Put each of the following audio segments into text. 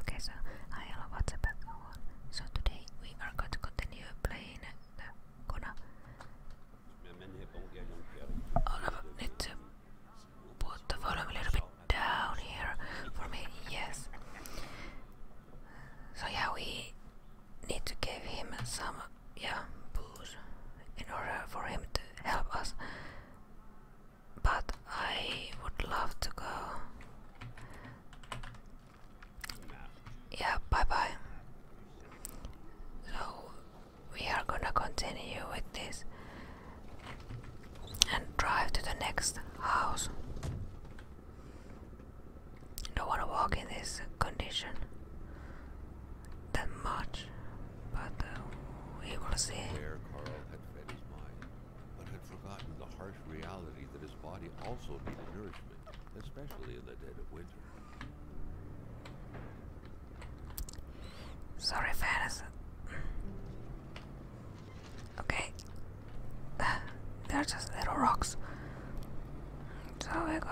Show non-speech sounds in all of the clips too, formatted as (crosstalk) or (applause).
Okay, so hi, hello, what's up everyone? So today we are going to continue playing the Kona. Oliver, need to put the volume a little bit down here for me, yes. So yeah, we need to give him some, yeah, booze in order for him to help us but I would love to go. Yeah, bye bye. So we are gonna continue with this and drive to the next house. Don't wanna walk in this condition that much, but uh, we will see but had forgotten the harsh reality that his body also needed nourishment, especially in the dead of winter. Sorry, Ferris. Okay. (sighs) they just little rocks. So we go.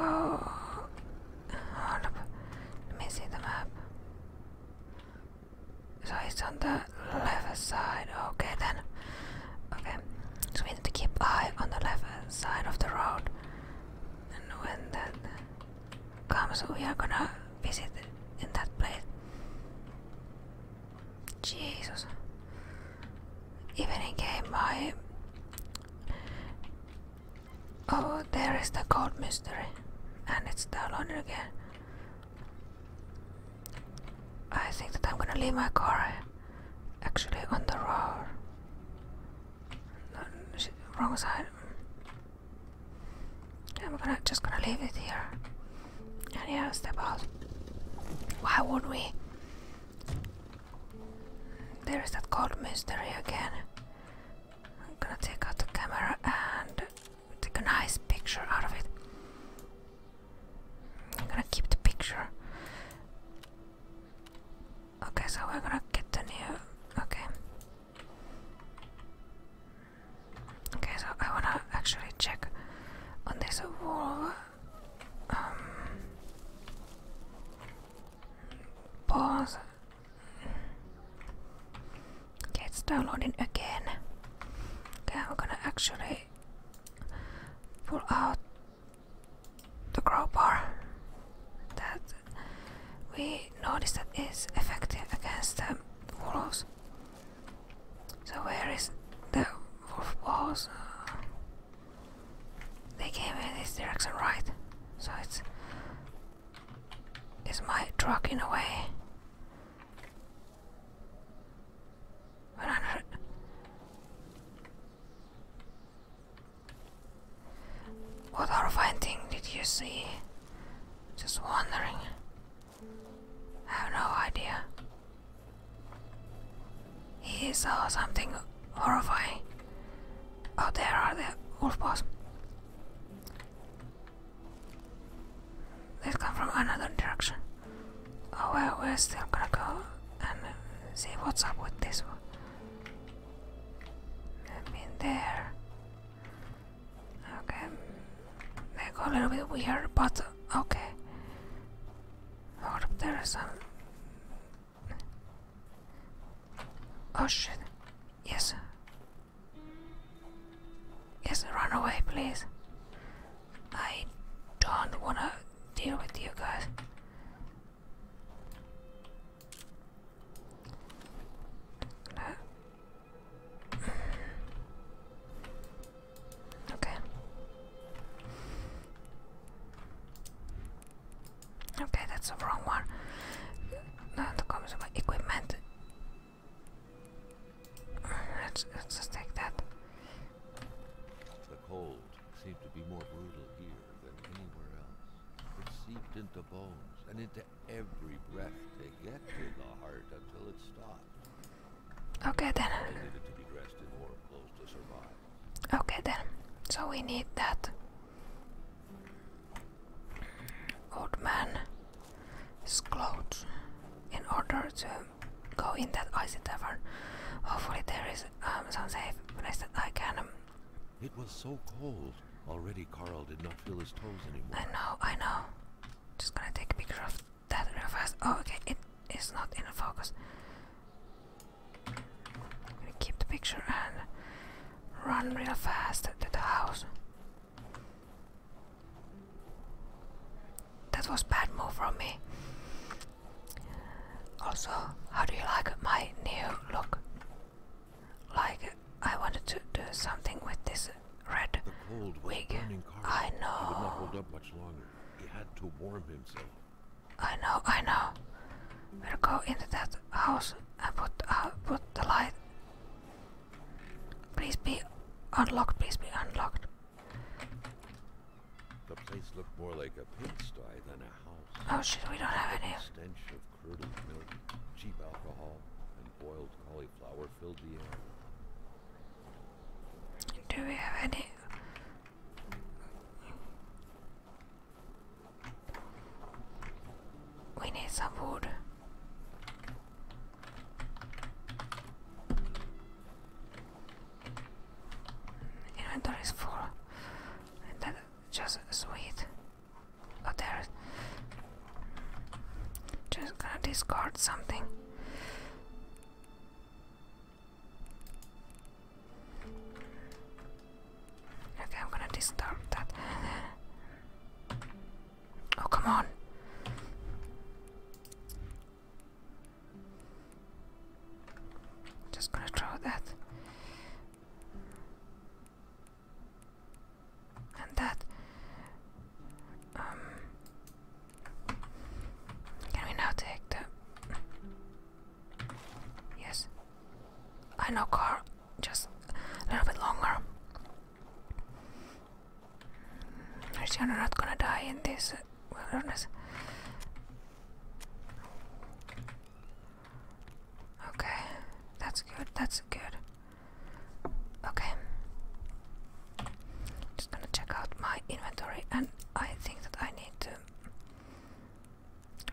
Hold up. Let me see the map. So it's on the left side. Okay then. Okay. So we need to keep eye on the left side of the road. And when that comes we are gonna visit in that place. Jesus. Even in game I Oh there is the gold mystery. And it's downloaded again. I think that I'm gonna leave my car eh? actually on the wrong side. I'm gonna just gonna leave it here. And yeah, step out. Why would we? There is that cold mystery again. I'm gonna take out the camera and take a nice picture out of it. I'm gonna keep the picture. Okay, so we're gonna get the new. Okay. Okay, so I wanna actually check on this wall. Um, pause. Okay, it's downloading again. Okay, we're gonna actually pull out the crowbar that we noticed that is effective against the wolves. So where is the wolf balls? they came in this direction, right? So it's it's my truck in a way. What are finding? did you see? Just wondering. I have no idea. He saw something horrifying. Oh, there are the wolf paws. They'll come from another direction. Oh well, we're still gonna go and uh, see what's up with this one. I mean, there. Okay. They go a little bit weird, but okay. Hold up, there is some. Oh shit. Yes. Yes, run away, please. I don't wanna deal with you guys. Uh, okay. Okay, that's the wrong one. Now the comes my equipment. Let's, just take that. The cold seemed to be more brutal here than anywhere else. It seeped into bones and into every breath to get to the heart until it stopped. Okay then. Okay then. So we need that. Old man's clothes in order to go in that icy tavern. Hopefully there is um, some safe I said I can... Um, it was so cold. Already Carl did not feel his toes anymore. I know, I know. Just gonna take a picture of that real fast. Oh, okay, it is not in focus. I'm gonna keep the picture and run real fast to the house. That was bad move from me. Also, how do you like my new look? Like, I wanted to do something with this red wig. I know. He would not hold up much longer. He had to warm himself. I know, I know. We'll go into that house and put uh, put the light. Please be unlocked. Please be unlocked. The place looked more like a pigsty than a house. Oh shit, we don't have any. Stench of curdled milk, cheap alcohol, and boiled cauliflower filled the air. Do we have any? We need some wood. Inventory is full. And that just sweet. Oh, there. Just gonna discard something. Okay, I'm gonna discard that. Oh, come on. Just gonna draw that. And that. Um, can we now take the. Yes. I know, Carl. Just a little bit longer. Actually, I'm not gonna die in this. Okay, that's good, that's good. Okay. Just gonna check out my inventory and I think that I need to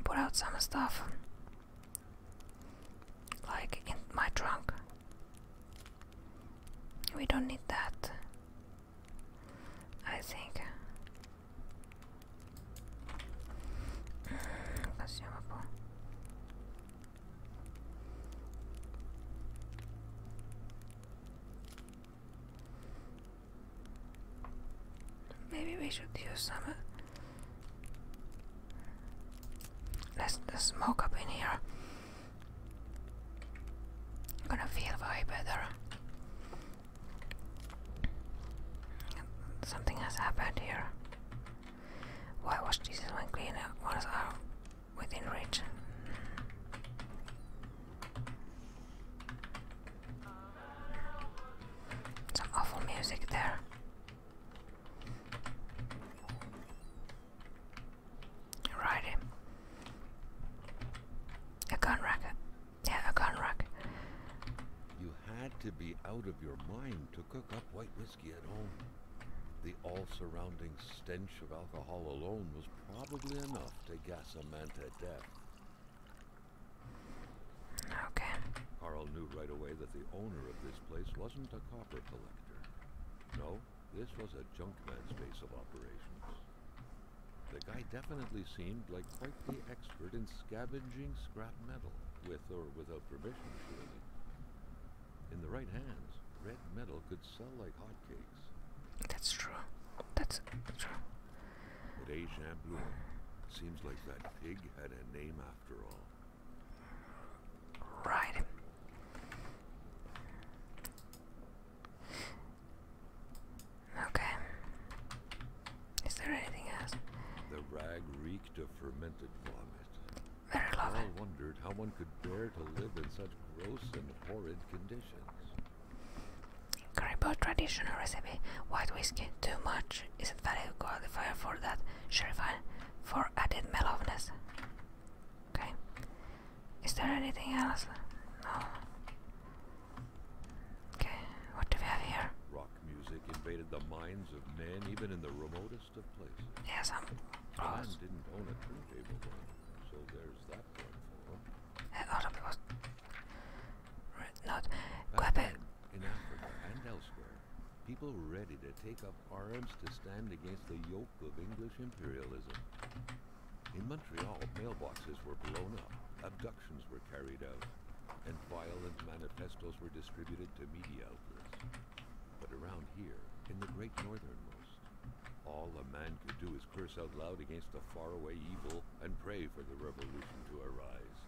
put out some stuff like in my trunk. We don't need that. I think. Mm, consumable. Maybe we should use some. Uh, Let's smoke up in here. I'm gonna feel way better. Something has happened here. Why was Jesus when clean ones are within reach? Some awful music there. Righty. A gun rack. Yeah, a gun rack. You had to be out of your mind to cook up white whiskey at home. The all-surrounding stench of alcohol alone was probably enough to gas a man to death. Okay. Carl knew right away that the owner of this place wasn't a copper collector. No, this was a junkman's base of operations. The guy definitely seemed like quite the expert in scavenging scrap metal, with or without permission, surely. In the right hands, red metal could sell like hotcakes. That's true. That's true. But Agent Champlain, seems like that pig had a name after all. Right. Okay. Is there anything else? The rag reeked of fermented vomit. Very lovely. I wondered how one could bear to live in such gross and horrid conditions. Caribou traditional recipe. White whiskey. Too much isn't valid qualifier for that. Sherifine for added mellowness. Okay. Is there anything else? No. Okay, what do we have here? Rock music invaded the minds of men even in the remotest of places. Yes, I'm John didn't own a turntable so there's that one for him. Uh, Otto was not In Africa and elsewhere, people ready to take up arms to stand against the yoke of English imperialism. In Montreal, mailboxes were blown up, abductions were carried out, and violent manifestos were distributed to media outlets. But around here, in the great northernmost, all a man could do is curse out loud against the faraway evil and pray for the revolution to arise.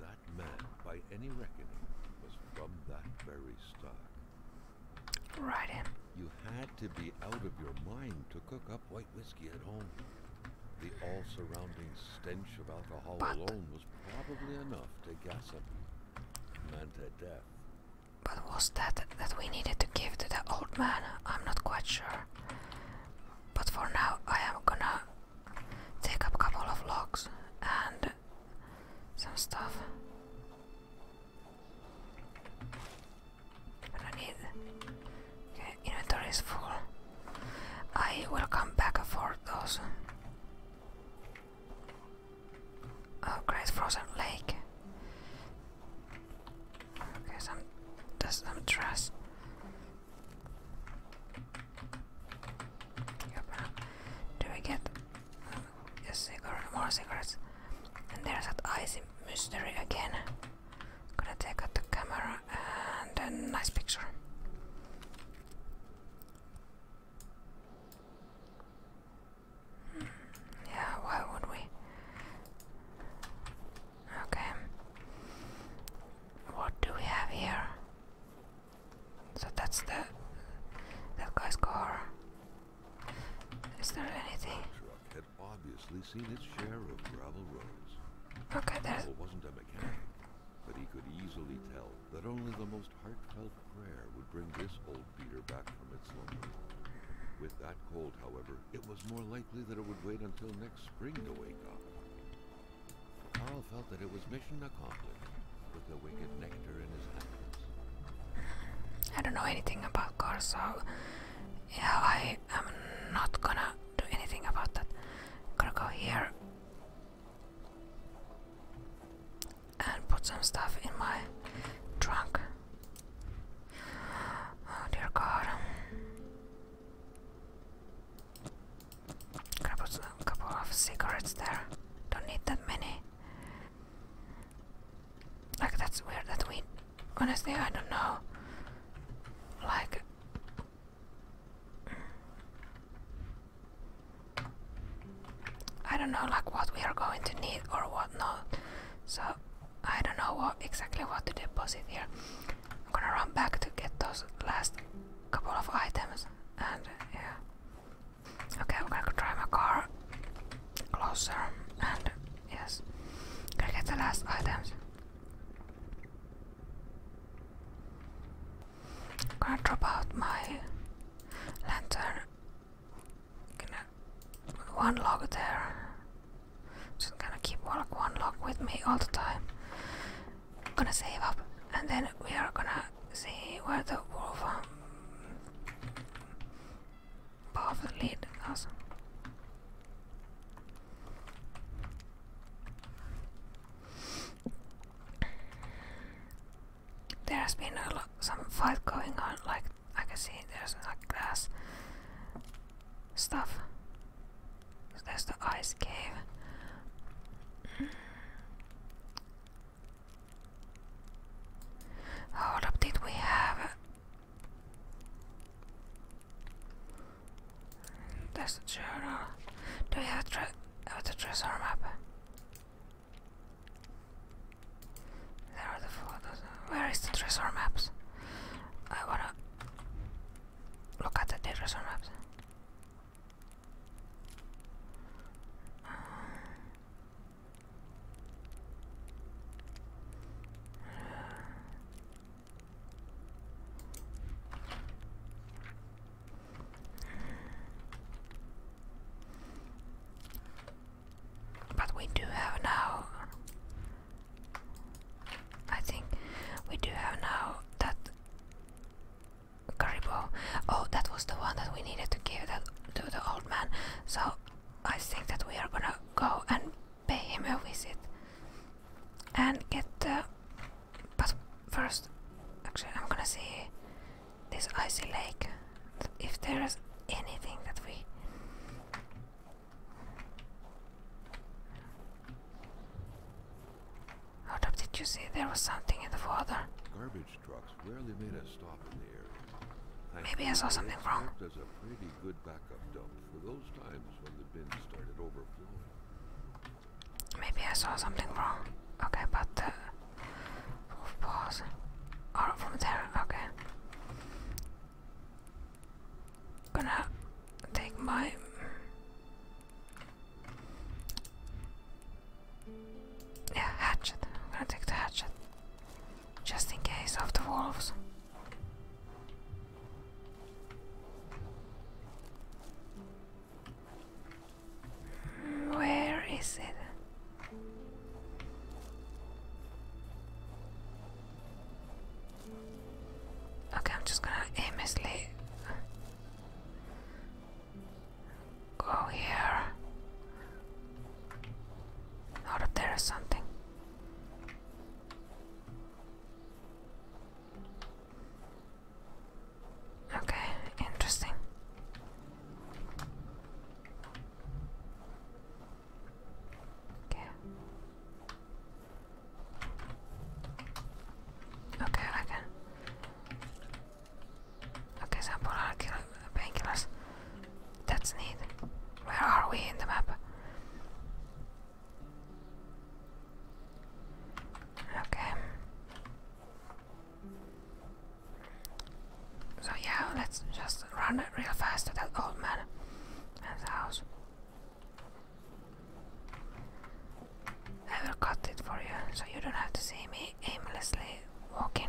That man, by any reckoning, was from that very stock. Right You had to be out of your mind to cook up white whiskey at home. The all-surrounding stench of alcohol alone was probably enough to gossip a man to death. But was that that we needed to give to the old man? I'm not quite sure. But for now, I am gonna take up a couple of logs and some stuff. I need. inventory is full. I will come back for those. Oh, great frozen lake. Okay, some there's some trash. Yep. Uh, do we get um, more cigarettes? And there's that icy mystery again. Gonna take out the camera and a nice picture. Hmm, yeah, why would we? Okay. What do we have here? So that's the that guy's car. Is there anything? obviously seen its share of gravel roads. Carl wasn't a mechanic, but he could easily tell that only the most heartfelt prayer would bring this old beater back from its slumber. With that cold, however, it was more likely that it would wait until next spring to wake up. Carl felt that it was mission accomplished, with the wicked nectar in his hands. I don't know anything about cars, so yeah, I am not gonna do anything about that. Gonna go here and put some stuff in my trunk. Oh dear God! Gonna put a couple of cigarettes there. Don't need that many. Like that's weird that we. Honestly, I don't know. Like I don't know like what we are going to need or what not. So I don't know what exactly what to deposit here. I'm gonna run back to get those last couple of items and yeah. Okay, I'm gonna try my car closer and yes. Gonna get the last items. I'm gonna drop out my lantern. Gonna one log there. Just gonna keep one, log with me all the time. I'm gonna save up, and then we are gonna see where the wolf um, path lead us. There's been a lot, some fight going on, like I can see there's like glass stuff. There's the ice cave. Hold up, did we have that's the journal. Do you have, tre have the treasure map? There are the photos. Where is the treasure maps? I wanna look at the treasure maps. Uh, but we do have now. I think we do have now that Garibo. Oh, that was the one that we needed to give that to the old man. So I think that we are gonna go and pay him a visit and get the. But first, actually, I'm gonna see this icy lake. If there is anything that we. Hold did you see there was something in the water? Garbage trucks rarely made a stop in the area. Maybe I saw something wrong. There's a pretty good backup dump for those times when the bins started overflowing. Maybe I saw something wrong. Okay, but the wolves are or from there. Okay, gonna take my. Yeah, hatchet. I'm gonna take the hatchet. Just in case of the wolves. Where is it? Okay, I'm just gonna aimlessly go here. Out of there is something. Okay, interesting. Okay. Okay, I Okay, sample painkillers. That's neat. Where are we in the map? Okay. So yeah, let's just run real fast to that old man and the house. I will cut it for you, so you don't have to see me aimlessly walking.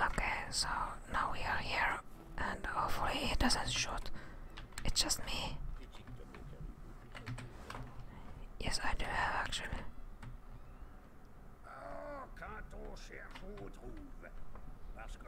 Okay, so now we are here, and hopefully he doesn't shoot. It's just me. Yes, I do have actually. Ah,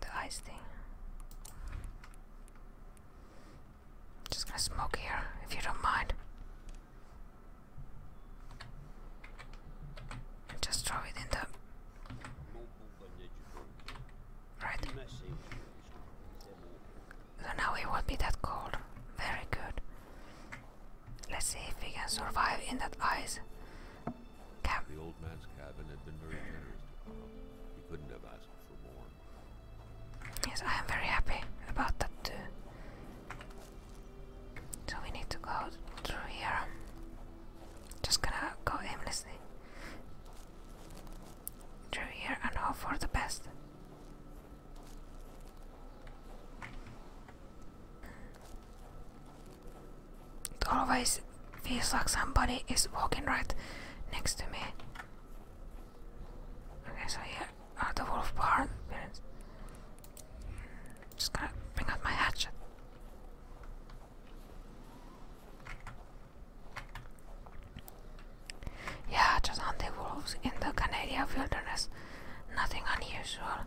The ice thing. Just gonna smoke here, if you don't mind. And just throw it in the right. So now it won't be that cold. Very good. Let's see if we can survive in that ice the old man's cabin had been very generous to Carl. He couldn't have asked for more. Yes, I am very happy about that too. So we need to go through here. Just gonna go aimlessly through here and hope for the best. It always feels like somebody is walking right next to me. Okay, so here are uh, the wolf barn. Mm, just gonna bring out my hatchet. Yeah, just hunting wolves in the Canadian wilderness. Nothing unusual.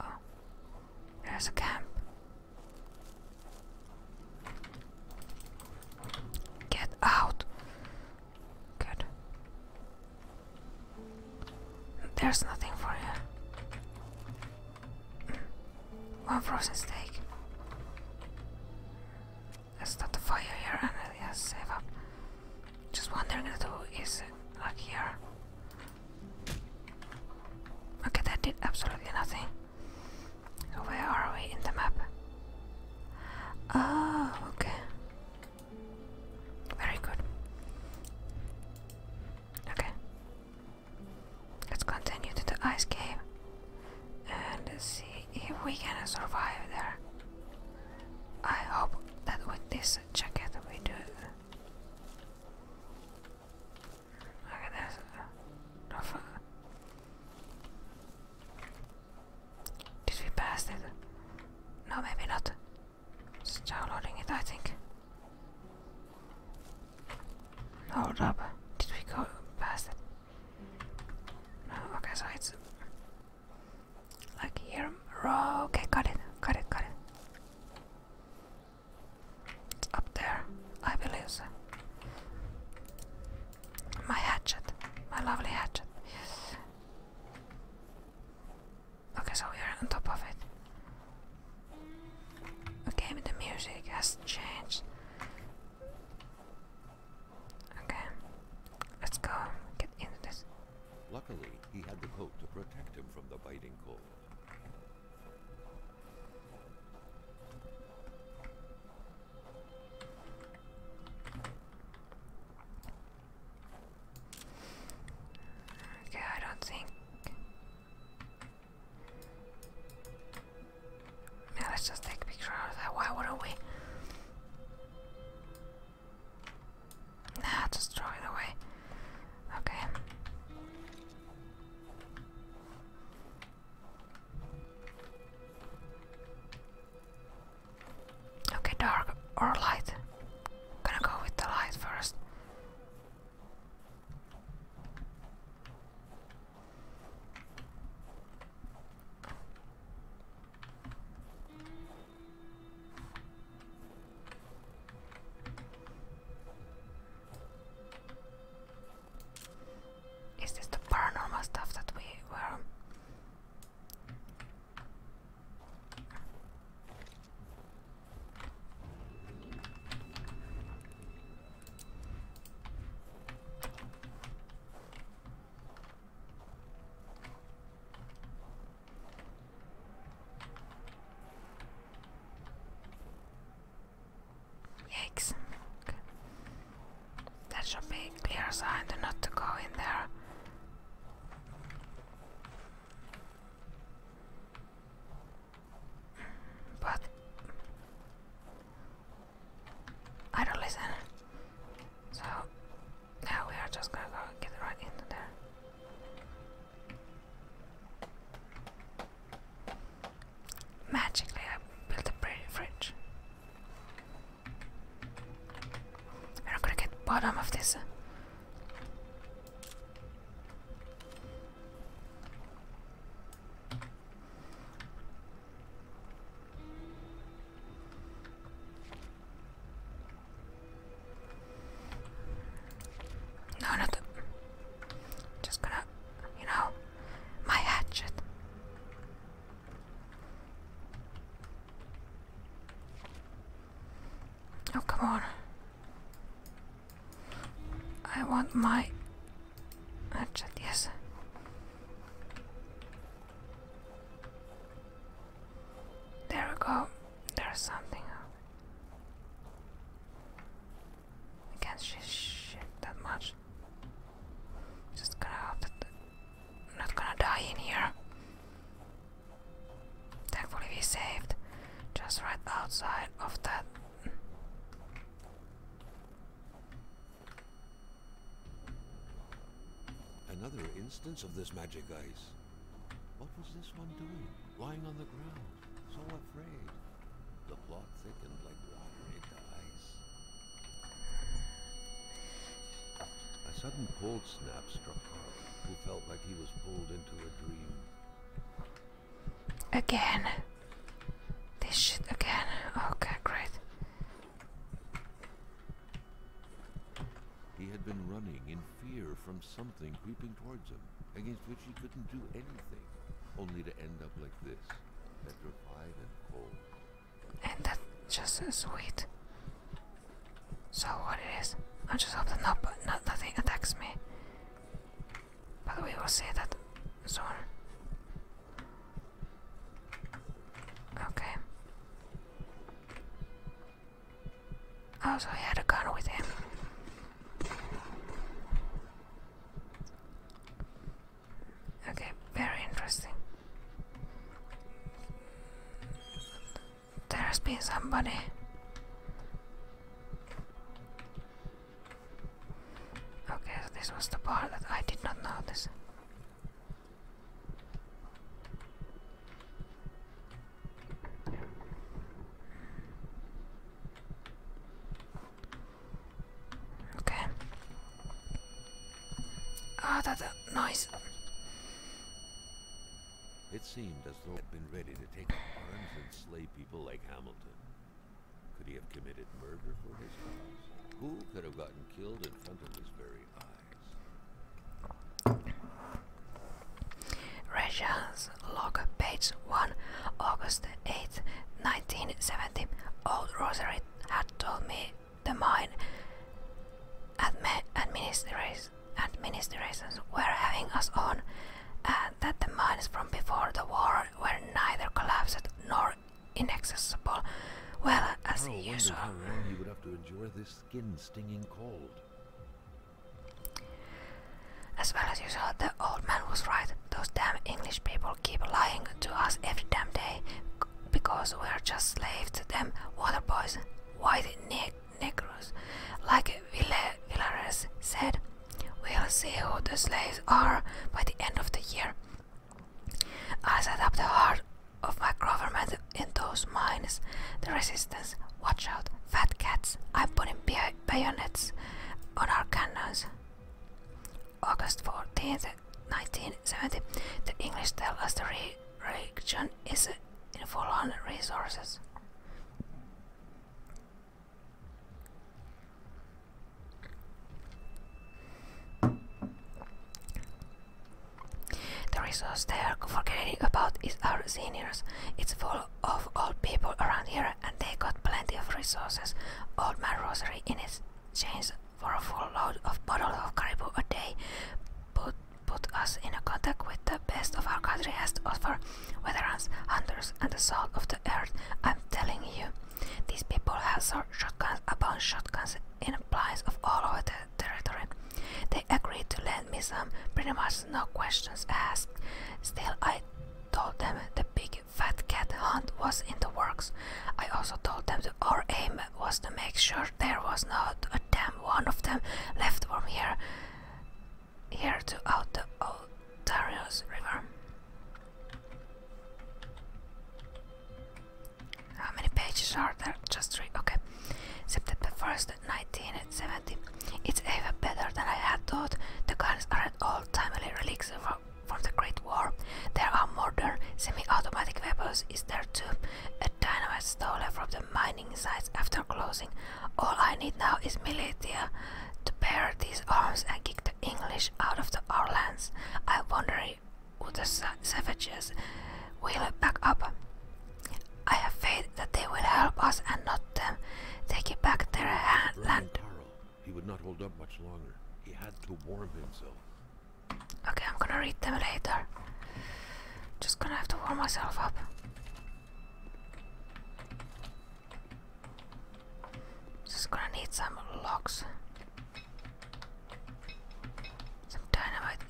Oh, there's a camp. Get out. Good. There's nothing for you. Mm. One frozen steak. Let's start the fire here and uh, yeah, save up. Just one thing to uh, do is uh, like here. Okay, that did absolutely nothing. where are we in the map? Oh, okay. Very good. Okay. Let's continue to the ice cave and see if we can survive there. I hope that with this jacket we do Look at this. Did we pass it? No, maybe not. It's downloading it, I think. Hold up. Did we go past it? No, okay, so it's like here. Row. Okay, got it, got it, got it. It's up there, I believe My hatchet, my lovely hatchet, yes. Okay, so we are on top of it. Okay, the music has changed. Okay, let's go get into this. Luckily, he had the coat to protect him from the biting cold. Okay, I don't think. let's just take a of that. Why wouldn't we? Nah, just throw it away. Okay. Okay, dark or light. Gonna go with the light first. Is this the paranormal stuff that we were? Yikes. That should be a clear sign to not to go in there. But I don't listen. So now we are just gonna go get right into there. Magically, I built a pretty fridge. We're gonna get bottom of this. Uh. No, nothing. Just gonna, you know, my hatchet. Oh, come on. I want my hatchet, yes. There we go. There's something. I can't sh shit that much. Just gonna hope that I'm not gonna die in here. Thankfully we saved just right outside of that. Another instance of this magic ice. What was this one doing, lying on the ground? So afraid. The plot thickened like water ice. A sudden cold snap struck Harvey, who felt like he was pulled into a dream. Again. This shit again. Okay, great. He had been running in fear from something creeping towards him, against which he couldn't do anything, only to end up like this, petrified and cold. And that's just sweet. So what it is, I just hope that not, not, nothing attacks me. But we will see that soon. Okay. Oh, so he had a gun with him. Okay, very interesting. There's been somebody. Okay, so this was the part that I did not notice. Okay. Ah, that's a nice. It seemed as though he had been ready to take arms and slay people like Hamilton. Could he have committed murder for his cause? Who could have gotten killed in front of his very eyes? Russians log, page 1, August 8, 1970. Old Rosary had told me the mine administrations were having us on, and that the mines from before the war were neither collapsed nor inaccessible. Well, as usual. you would have to endure this skin-stinging cold. As well as you saw, the old man was right. Those damn English people keep lying to us every damn day because we're just slaves to them water boys, white ne negroes. Like Villa Villares said, we'll see who the slaves are by the end of the year. I set up the heart of my government in those mines. The resistance, watch out, fat cats, I'm putting beer bayonets on our cannons. August Fourteenth, 1970, the English tell us the region is in full on resources. The resource they are forgetting about is our seniors. It's full of old people around here and they got plenty of resources. Old man Rosary in exchange for a full load of bottles of caribou a day put, put us in contact with the best of our country has to offer, veterans, hunters and the salt of the earth. I'm telling you, these people have shotguns upon shotguns in blinds of all over the territory. They agreed to lend me some, pretty much no questions asked. Still, I told them the big fat cat hunt was in the works. I also told them our aim was to make sure there was not a damn one of them left from here here to out the Otarius River. How many pages are there? Just three. Okay. September 1st, 19 70. It's even better than I had thought. The guns are an old timely relics from, the Great War. There are modern semi-automatic weapons is there too. A dynamite stolen from the mining sites after closing. All I need now is militia to bear these arms and kick the English out of the, our lands. I wonder would the savages will back up. I have faith that they will help us and not them. Take back their land he would not hold up much longer. He had to warm himself. Okay, I'm gonna read them later. Just gonna have to warm myself up. Just gonna need some locks. Some dynamite.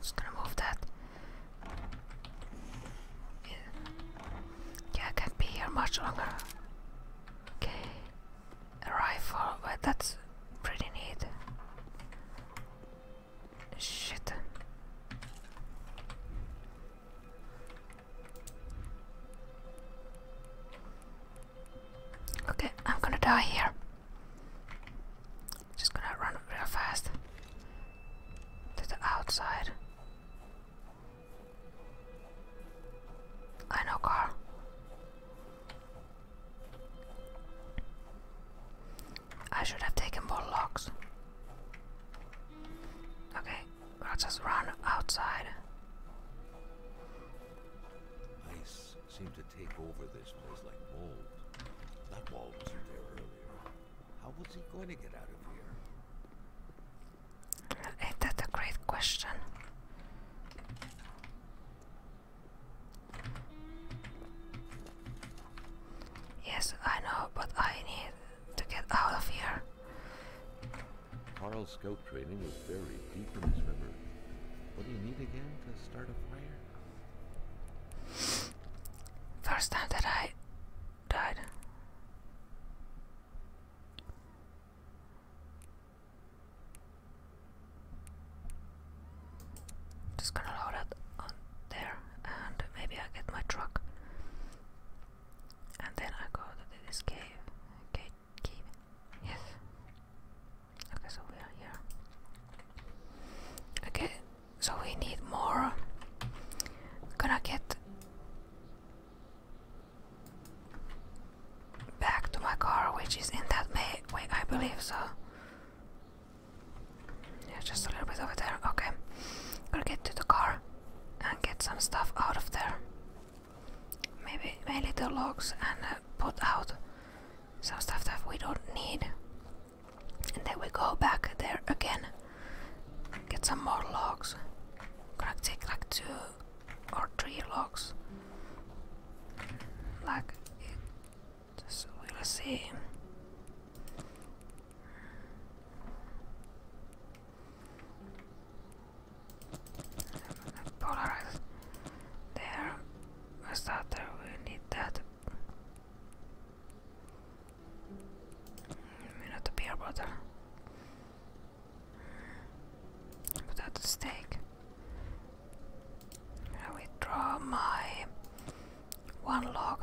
Just gonna move that. Yeah, can't be here much longer. Okay, a rifle, but that's pretty neat. Shit. Okay, I'm gonna die here. Just gonna run real fast to the outside. I know, Carl. I should have taken more locks. Okay, we'll just run outside. Ice seemed to take over this place like mold. That wall was there earlier. How was he going to get out of here? that's a great question. Yes, I know, but I need to get out of here. Carl's scout training was buried deep in his memory. What do you need again to start a fire? First time that I died. Just gonna load it on there and maybe I get my truck. And then I go to this cave. Gate cave. Yes. Okay, so we are here. Okay, so we need more. Gonna get back to my car, which is in that way, I believe. So, yeah, just a little bit over there. Okay, gonna get to the car and get some stuff out of there. Maybe maybe the logs and uh, put out some stuff that we don't need. And then we go back there again. Get some more logs. Gonna take like two or three logs. Like it just we'll see. Polarize there. A starter we need that not a beer bottle. Without a stake. I withdraw my one log.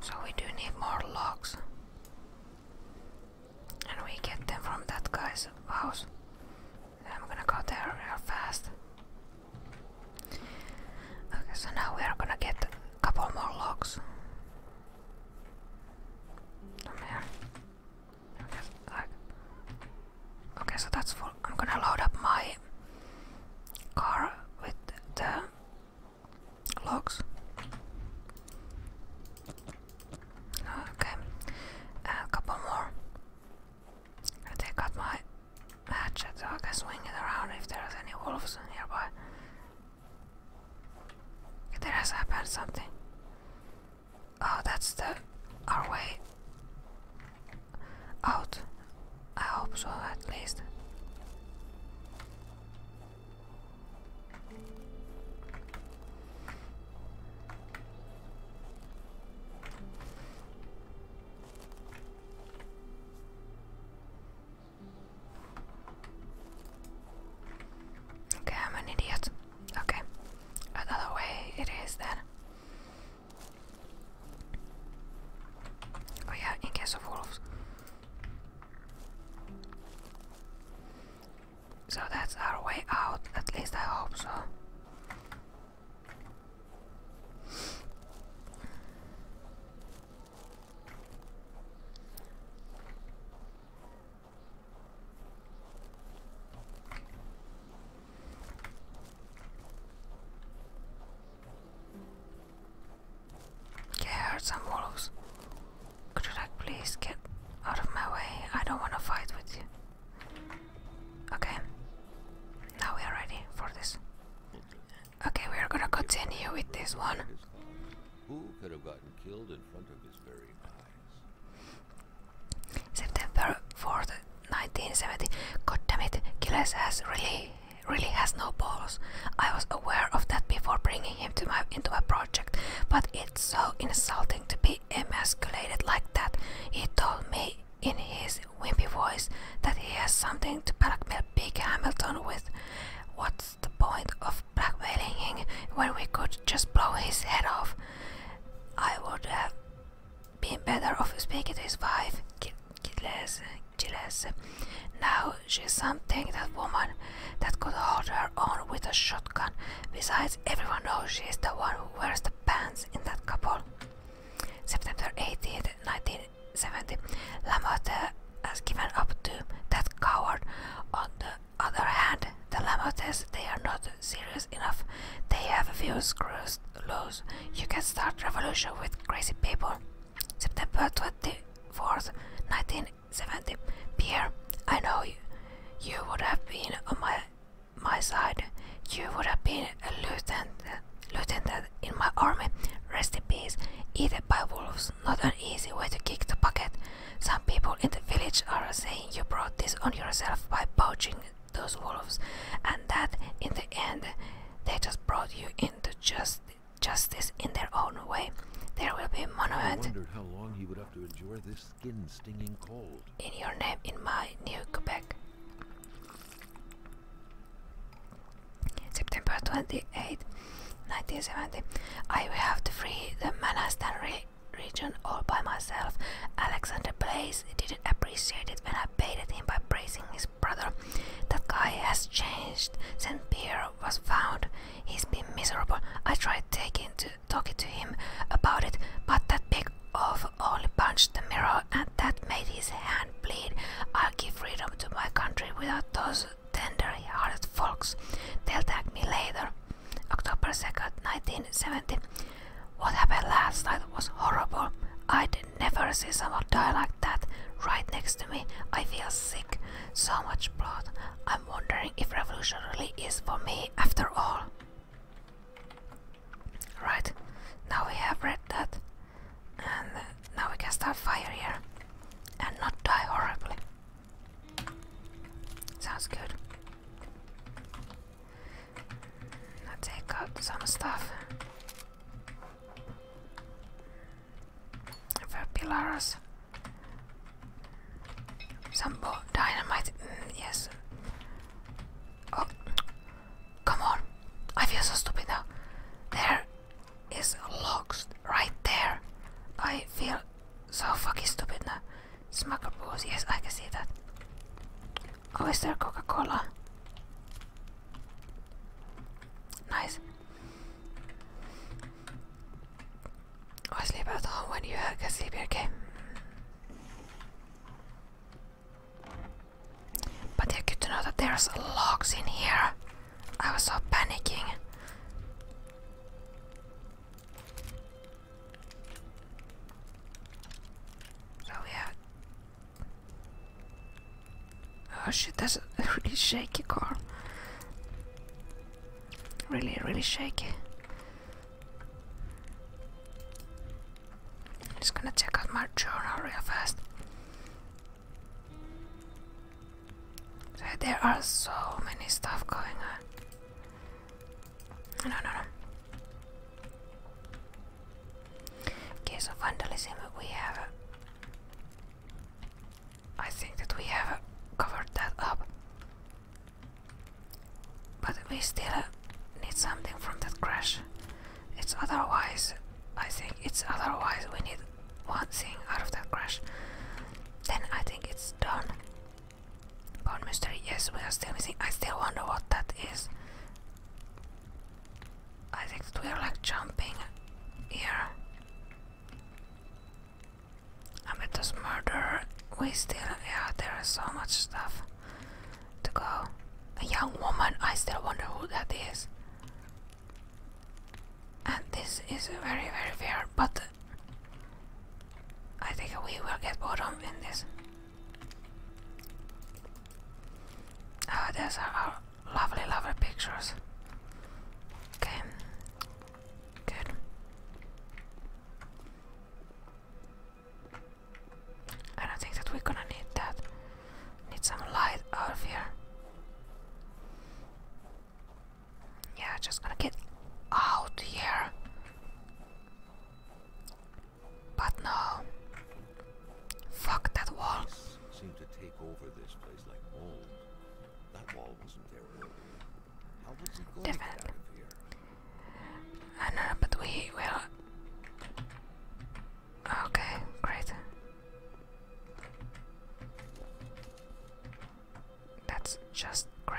So we do need more logs. And we get them from that guy's house. I'm gonna go there real fast. Okay, so now we are gonna get a couple more logs. Come here. Okay, so that's full. I'm gonna load up my car with the logs. Okay, a uh, couple more. I take out my hatchet I can swing it around if there's any wolves nearby. There something. Oh, that's the our way out. I hope so, at least. Okay, I'm an idiot. Okay, another way it is then. Oh, yeah, in case of wolves. So that's our way out, at least I hope so. Okay, I some wolves. Could you like please get out of my way? I don't wanna fight with you. Okay. Now we are ready for this. Okay, we are gonna continue with this one. Who could have gotten killed in front of his very eyes? September 4th, 1970. God damn it, Gilles has really really has no balls. I was aware of that before bringing him into my project, but it's so insulting to be emasculated like that. He told me in his wimpy voice that he has something to blackmail Big Hamilton with. What's the point of blackmailing him when we could just blow his head off? I would have been better off speaking to his wife, Gilles, Now she's something, that woman, that could hold her own with a shotgun. Besides, everyone knows she is the one who wears the pants in that couple. September eighteenth, 1970. Lamotte has given up to that coward. On the other hand, the Lamottes, they are not serious enough. They have a few screws loose. You can start revolution with crazy people. September 24th, 1970. Pierre, I know you, would have been on my, my side. You would have been a lieutenant, lieutenant in my army. Rest in peace, eaten by wolves. Not an easy way to kick the bucket. Some people in the village are saying you brought this on yourself by poaching those wolves, and that in the end they just brought you into justice justice in their own way. There will be a monument in your name in my new Quebec. September 28, 1970. I will have to free the Manastan region all by myself. Alexander Blaze didn't appreciate it when I baited him by praising his brother. That guy has changed. Saint Pierre was found. He's been miserable. I tried taking to talking to him about it, but that big oaf only punched the mirror and that made his hand bleed. I'll give freedom to my country without those tender-hearted folks. They'll thank me later. October 2nd, 1970. What happened last night was horrible. I'd never see someone die like that right next to me. I feel sick. So much blood. I'm wondering if revolution really is for me after all. Right, now we have read that. And now we can start fire here. And not die horribly. Sounds good. Now take out some stuff for pillars. Some dynamite. Mm, yes. Oh, come on! I feel so stupid now. There is logs right there. I feel so fucking stupid now. Smucker booze. Yes, I can see that. Oh, is there Coca-Cola? Nice. Or oh, sleep at home when you can sleep here, okay? But yeah, good to know that there's logs in here. I was so panicking. So yeah. Oh shit, that's a (laughs) really shaky car. Really, really shaky. Just gonna check out my journal real fast. So there are so many stuff going on. No, no, no. Case of vandalism, we have I think that we have covered that up. But we still need something from that crash. It's otherwise, I think it's otherwise we need one thing out of that crash. Then I think it's done. But mystery, yes, we are still missing. I still wonder what that is. I think we are like jumping here. I'm at Ameto's murder. We still, yeah, there is so much stuff to go. A young woman, I still wonder who that is. And this is very, very fair, but I think we will get bottom in this. Oh, ah, those are our lovely, lovely pictures. Okay, I don't think that we're gonna need that. Need some light out of here. Yeah, just gonna get out here. But no. Fuck that wall. That wall wasn't there earlier. How was he going Different. to get out of here? I know, but we will. Okay, great. That's just great.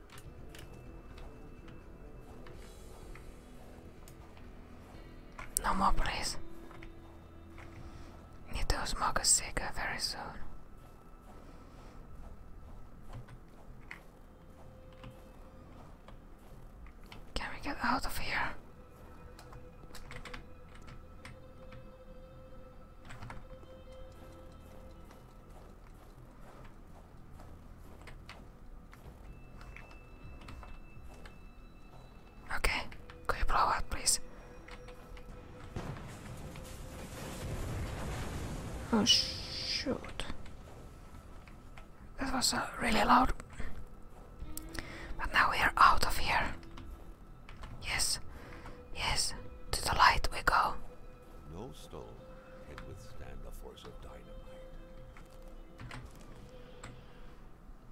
No more, please. Need to smoke a cigar very soon. Can we get out of here? Okay, could you blow please? Oh, shoot. That was uh, really loud. But now we are out of here. Yes, yes, to the light we go. No stone can withstand the force of dynamite.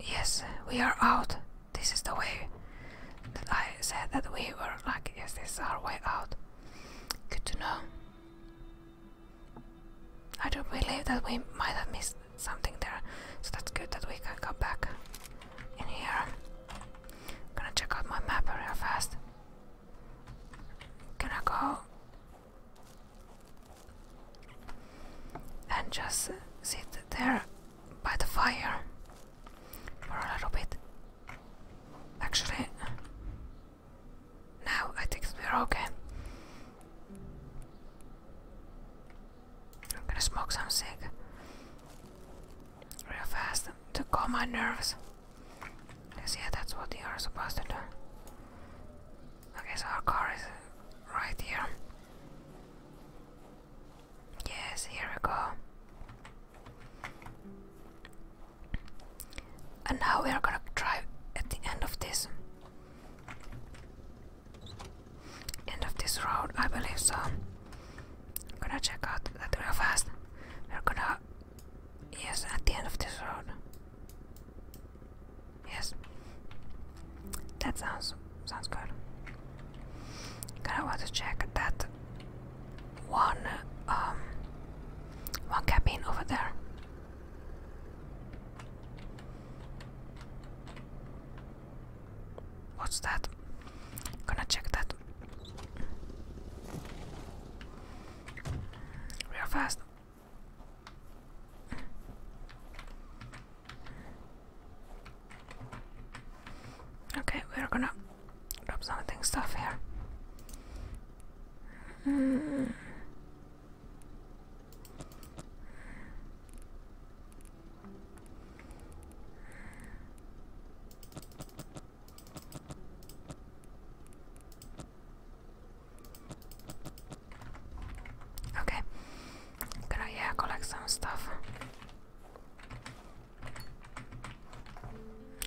Yes, we are out. This is the way that I said that we were like, yes, this is our way out. Good to know. I do not believe that we might have missed something there, so that's good that we can come back in here. I'm gonna check out my map real fast. Gonna go and just sit there by the fire for a little bit? Actually, now I think we're okay. I'm gonna smoke some cig real fast to calm my nerves. Yes, yeah, that's what you are supposed to do. Okay, so our car is right here. Yes, here we go. And now we are gonna drive at the end of this. End of this road, I believe so. I'm gonna check out that real fast. We're gonna Yes, at the end of this road. Yes. That sounds sounds good. Gonna want to check that one um one cabin over there. What's that? Gonna check that real fast. Okay, we're gonna drop something stuff here. Mm. Okay. Gonna yeah, collect some stuff.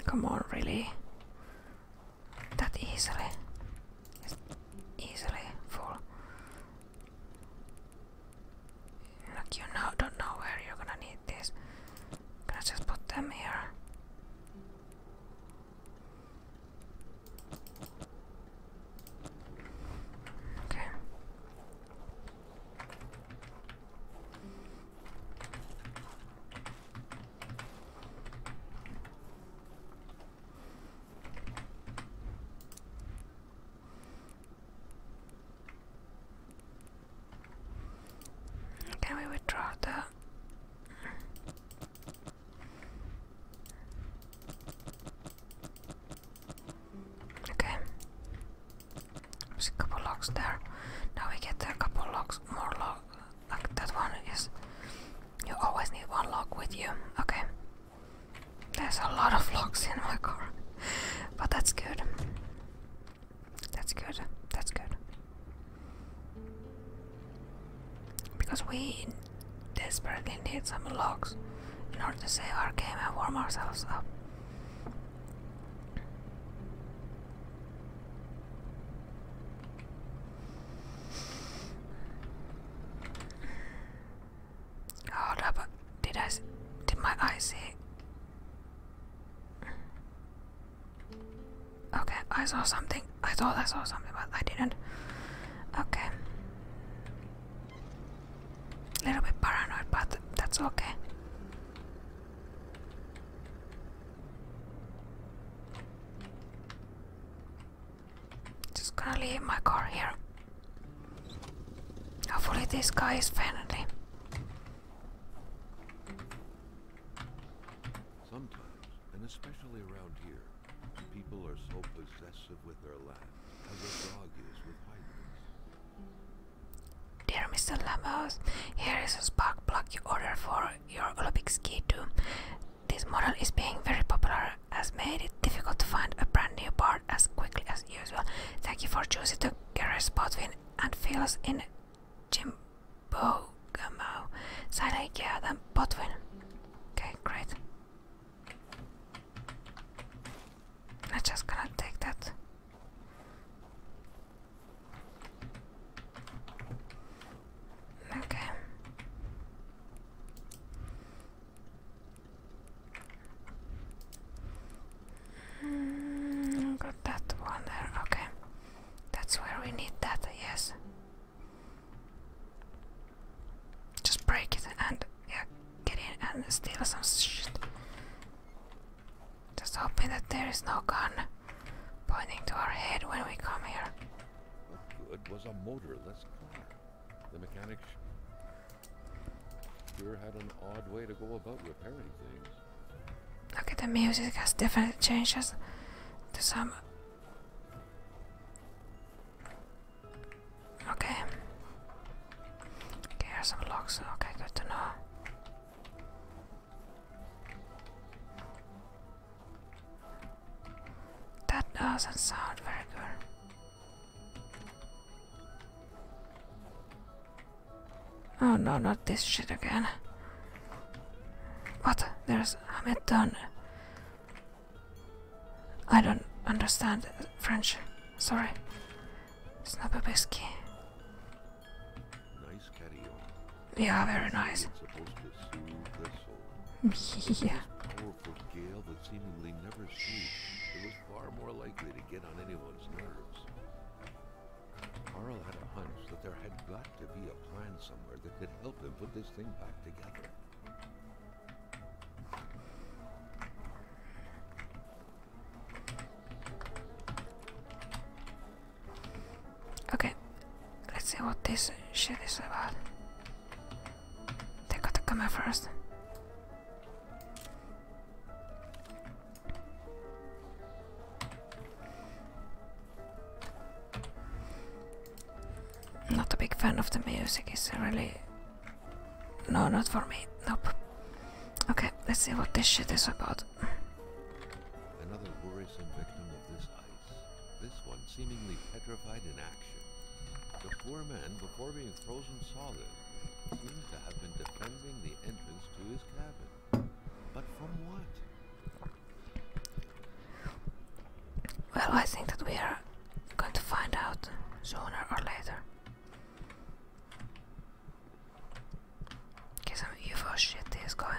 Come on, really? That easily. It's easily full. Like you know don't know where you're gonna need this. Gonna just put them here. Okay. Can we withdraw that? Okay. There's a couple locks there. Now we get a couple locks. more log. Like that one is. You always need one lock with you. Okay. There's a lot of locks in my car, but that's good. That's good. That's good. Because we desperately need some logs in order to save our game and warm ourselves up. Hold up, did I, did my eye see? Okay, I saw something. I thought I saw something, but I didn't. Okay. little bit paranoid, but that's okay. Just gonna leave my car here. Hopefully, this guy is friendly and especially around here, people are so possessive with their land as a dog is with hyenas. Dear Mr. Lamos, here is a spark plug you ordered for your Olympic ski too. This model is being very popular, as made it difficult to find a brand new part as quickly as usual. Thank you for choosing the garage spot win and fills in Jim Bogamo. Sada Jadan Botwin. Okay, great. I'm just gonna take that. Okay. Mm, got that one there. Okay. That's where we need that, yes. Just break it and yeah, get in and steal some shit. Just hoping that there is no gun pointing to our head when we come here. What good was a motorless car? The mechanic sure had an odd way to go about repairing things. Look at the music has definitely changed us to some Okay. Okay, here's some logs. Okay, good to know. That doesn't sound very good. Oh no, not this shit again. What? There's Hamilton I don't understand French. Sorry. It's not whiskey. Nice carry Yeah, very nice. (laughs) yeah. It was far more likely to get on anyone's nerves. Carl had a hunch that there had got to be a plan somewhere that could help him put this thing back together. Okay, let's see what this shit is about. They gotta come in first. I'm not a big fan of the music, it's really... No, not for me, nope. Okay, let's see what this shit is about. Another worrisome victim of this ice. This one seemingly petrified in action. The poor man, before being frozen solid, seems to have been defending the entrance to his cabin. But from what? Well, I think that we are going to find out sooner or later. Get some UFO shit is going.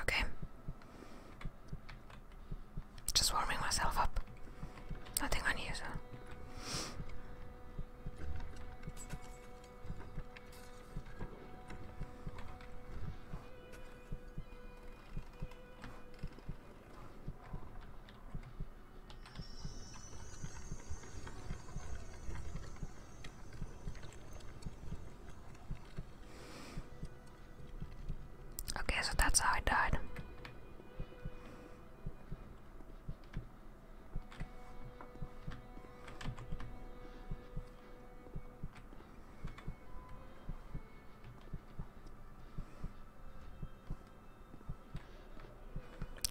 Okay. Just warming myself up. Nothing unusual. Okay, so that's how I died.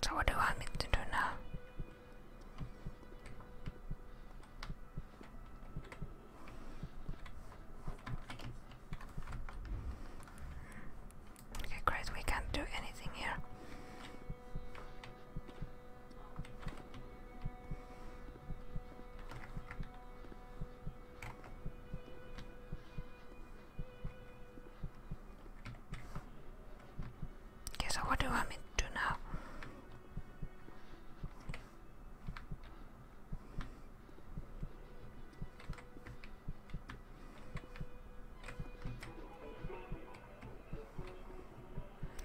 So what do I need to do now? Okay, great, we can't do anything here. Okay, so what do I mean to do now?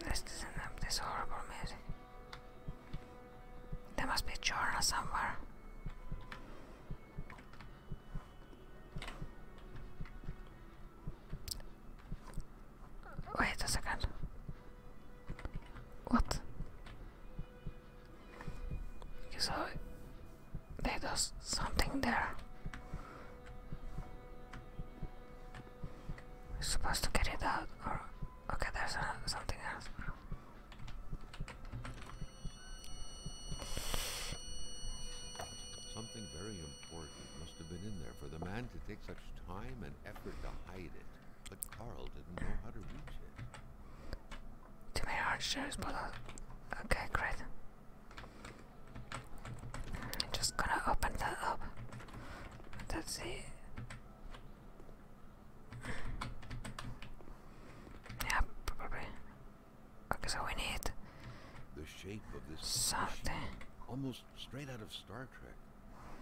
Let's listen up this horrible music. There must be a journal somewhere. Wait a second. What? So they do something there. We're supposed to get it out, or okay, there's something else. Something very important must have been in there for the man to take such time and effort to hide it. But Carl didn't know how to reach it. Too many hard okay, great. just gonna open that up. Let's see. Yeah, probably. Okay, so we need the shape of this something almost straight out of Star Trek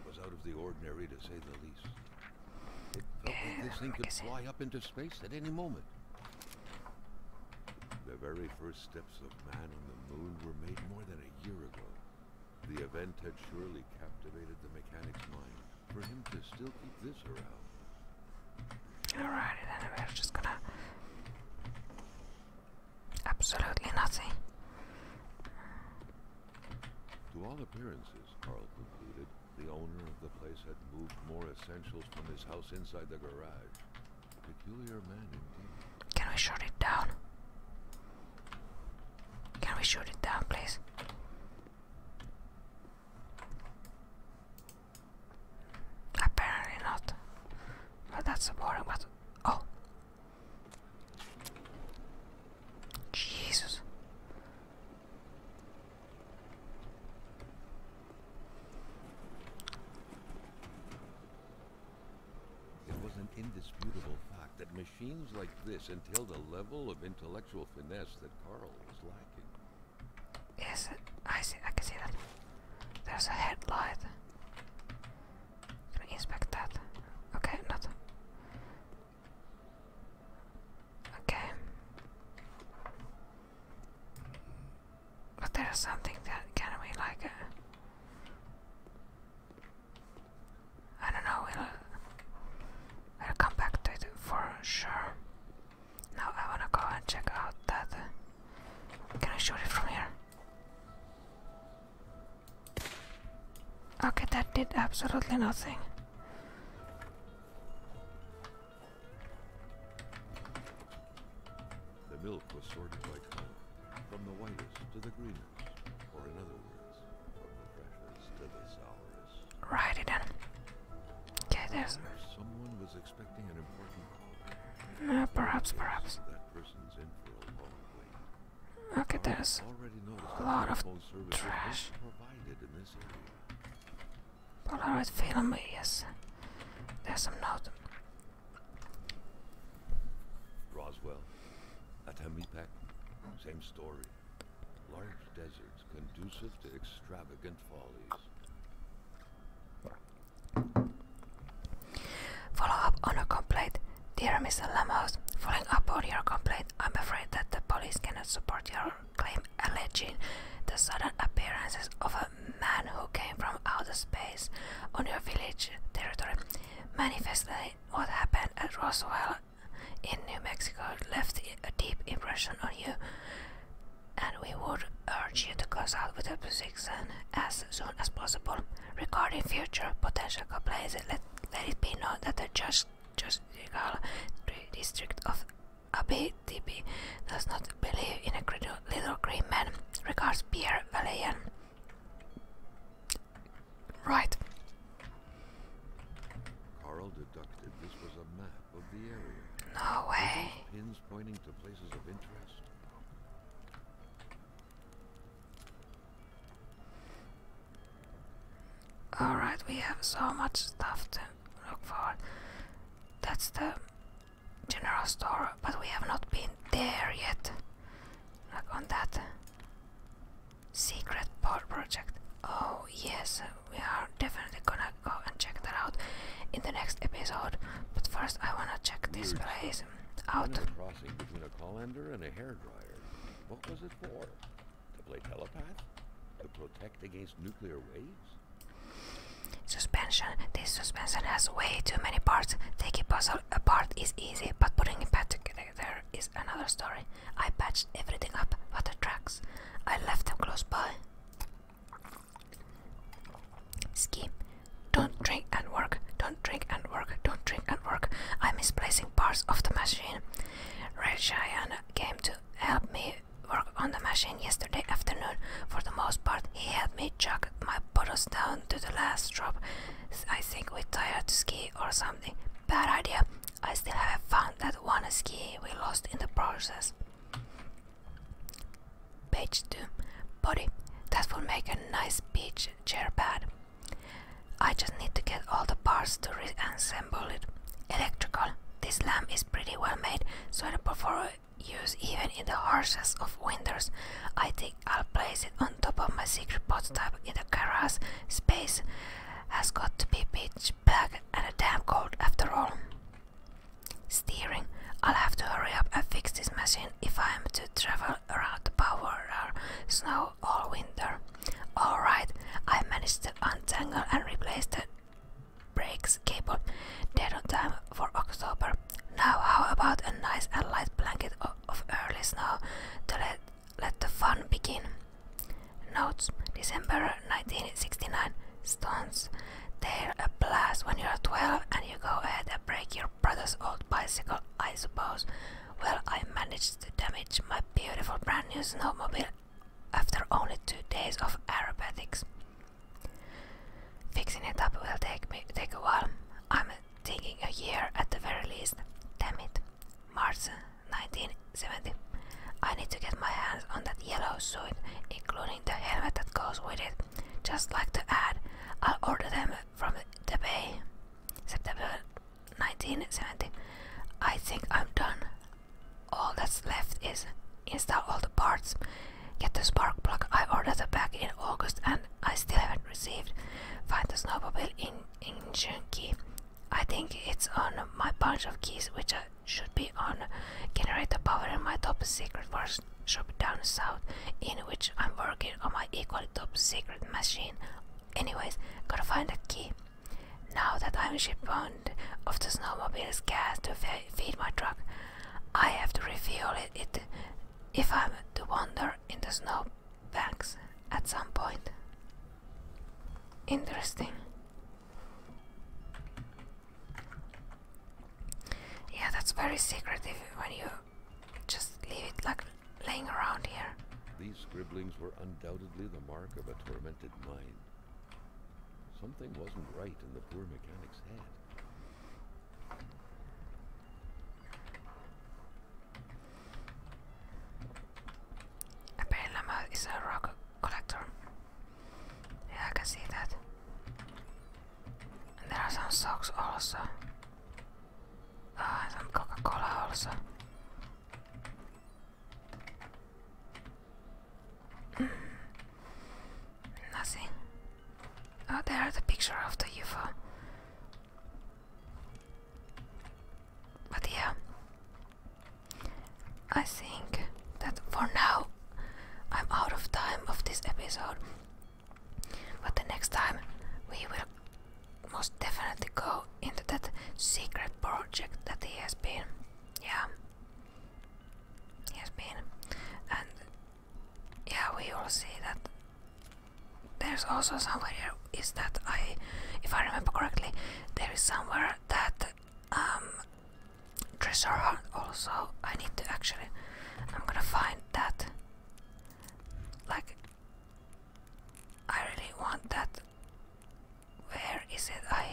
was out of the ordinary to say the least. It felt like this thing could fly up into space at any moment. The very first steps of man on the moon were made more than a year ago. The event had surely captivated the mechanic's mind for him to still keep this around. Alrighty then, we're just gonna... Absolutely nothing. To all appearances, Carl concluded, the owner of the place had moved more essentials from his house inside the garage. Peculiar man indeed. Can we shut it down? Can we shut it down, please? Apparently not. But that's a boring but oh Jesus It was an indisputable fact that machines like this entailed a level of intellectual finesse that Carl was lacking. Yes, I see. I can see that. There's a headlight. inspect that? Okay, nothing. Okay. But there's something that can be like a. Uh, I don't know. we'll come back to it for sure. Now I wanna go and check out that. can I shoot it from here? Okay, that did absolutely nothing. The milk was sorted by color, from the whitest to the greenest, or in other words, from the freshest to the sour. Righty then. Okay, there's. Someone was expecting an important call. Uh, perhaps, perhaps. That person's in for a long wait. Okay, there's a lot of trash. Polaroid me. yes. There's some note. Roswell, Atamipak, same story. Large desert conducive to extravagant follies. Follow up on a complaint. Dear Mr. Lamos, following up on your complaint, I'm afraid that the police cannot support your claim alleging the sudden appearances of a man who came from outer space on your village territory. Manifestly, what happened at Roswell in New Mexico left a deep impression on you and we would urge you to consult with a physician as soon as possible. Regarding future potential complaints, let, let it be known that the judge, judicial district of ABTB does not believe in a little green man. Regards Pierre Valian. Right. Carl deducted this was a map of the area. No way. Pins pointing to places of interest. Alright, we have so much stuff to look for. That's the general store, but we have not been there yet. Like on that secret project. Oh, yes, we are definitely gonna go and check that out in the next episode. But first, I wanna check this place out. What was it for? To play telepath? To protect against nuclear waves? Suspension. This suspension has way too many parts. Taking puzzle apart is easy, but putting it back together is another story. I patched everything up but the tracks. I left them close by. Ski. Don't drink and work. Don't drink and work. Don't drink and work. I'm misplacing parts of the machine. Ray Giant came to help me work on the machine yesterday afternoon. For the most part, he helped me chuck my bottles down to the last drop. I think we tired ski or something. Bad idea. I still haven't found that one ski we lost in the process. Page 2. Body. That will make a nice beach chair pad. I just need to get all the parts to reassemble it. Electrical. This lamp is pretty well made, so suitable for use even in the harshest of winters. I think I'll place it on top of my secret pot prototype in the garage. Space has got to be pitch black and damn cold after all. Steering. I'll have to hurry up and fix this machine if I am to travel around the power or snow all winter. Alright, I managed to untangle and replace the brakes cable dead on time for October. Now how about a nice and light blanket of, of early snow to let, let the fun begin. Notes December 1969 Stunts, They're a blast when you're 12 and you go ahead and break your brother's old bicycle, I suppose. Well, I managed to damage my beautiful brand new snowmobile after only two days of aerobatics. Fixing it up will take me take a while. I'm thinking a year at the very least. Damn it. March 1970. I need to get my hands on that yellow suit, including the helmet that goes with it. Just like the ad, I'll order them from the bay. September 1970. I think I'm done. All that's left is install all the parts, get the spark plug I ordered back in August and I still haven't received. Find the snowmobile in engine key. I think it's on my bunch of keys which I should be on. Generate the power in my top secret workshop down south, in which I'm working on my equally top secret machine. Anyways, gotta find a key. Now that I'm shipbound of the snowmobile's gas to feed my truck, I have to refill it if I'm to wander in the snow banks at some point. Interesting. Yeah, that's very secretive when you just leave it like laying around here. These scribblings were undoubtedly the mark of a tormented mind. Something wasn't right in the poor mechanic's head. Apparently, is a rock collector. Yeah, I can see that. there are some socks also. Ah, uh, some Coca-Cola also. Mm. Nothing. Oh, there's a picture of the UFO. But yeah, I think that for now I'm out of time of this episode. But the next time we will most definitely go into that secret project that he has been. Yeah. He has been. And yeah, we will see that there's also somewhere is that I if I remember correctly there is somewhere that um treasure hunt also. I need to actually I'm gonna find that like I really want that where is it? I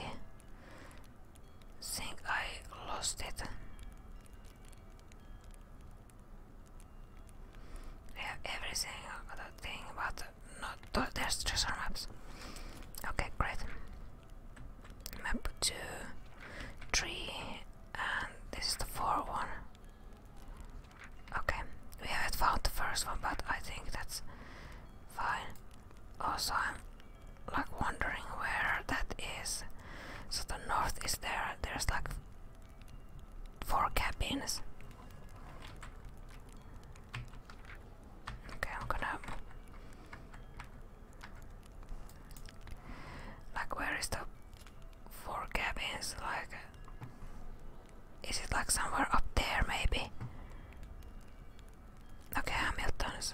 think I lost it. We have everything other thing but not there's treasure maps. Okay, great map 2, 3, and this is the 4 one. Okay, we haven't found the first one, but I think that's fine. Also, I'm like wondering where that is. So the north is there, there's like four cabins. Okay, I'm gonna like where is the four cabins? Like is it like somewhere up there maybe? Okay, Hamilton's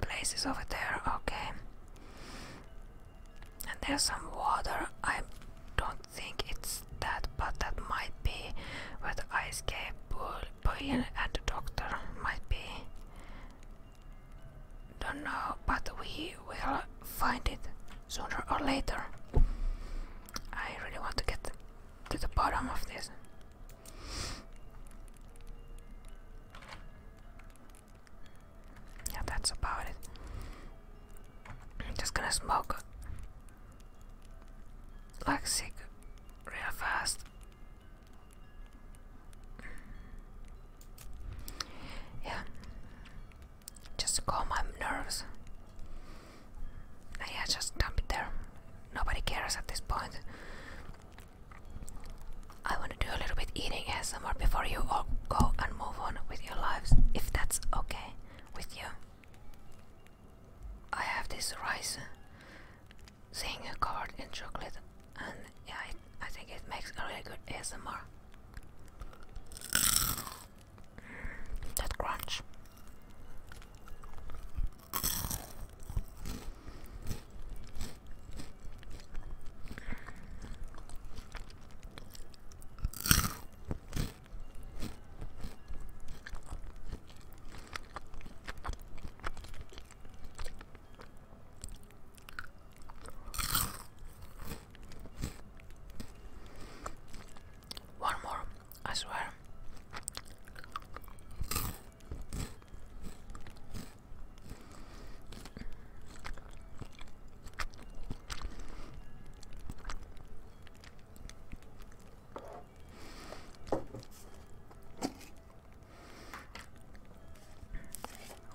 place is over there, okay. And there's some water. I don't think it's that, but that might be where the ice cave, Bullion and the doctor might be. Don't know, but we will find it sooner or later. I really want to get to the bottom of this. Yeah, that's about it. I'm just gonna smoke like sick real fast yeah, just calm my nerves. Yeah, just dump it there. Nobody cares at this point. I want to do a little bit eating ASMR before you all go and move on with your lives, if that's okay with you. I have this rice seeing a card in chocolate and yeah I think it makes a really good ASMR mm, that crunch one more, I swear.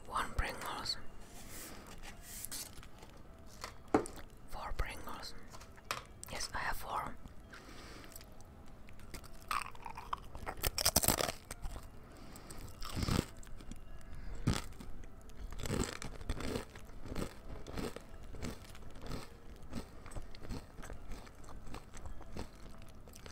One Pringles, four Pringles. Yes, I have four.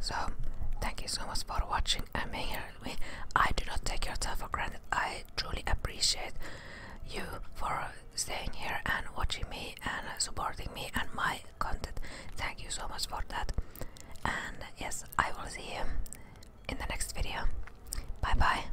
So, thank you so much for watching and being here I do not take your time for granted. I truly appreciate you for staying here and watching me and supporting me and my content. Thank you so much for that. And yes, I will see you in the next video. Bye bye.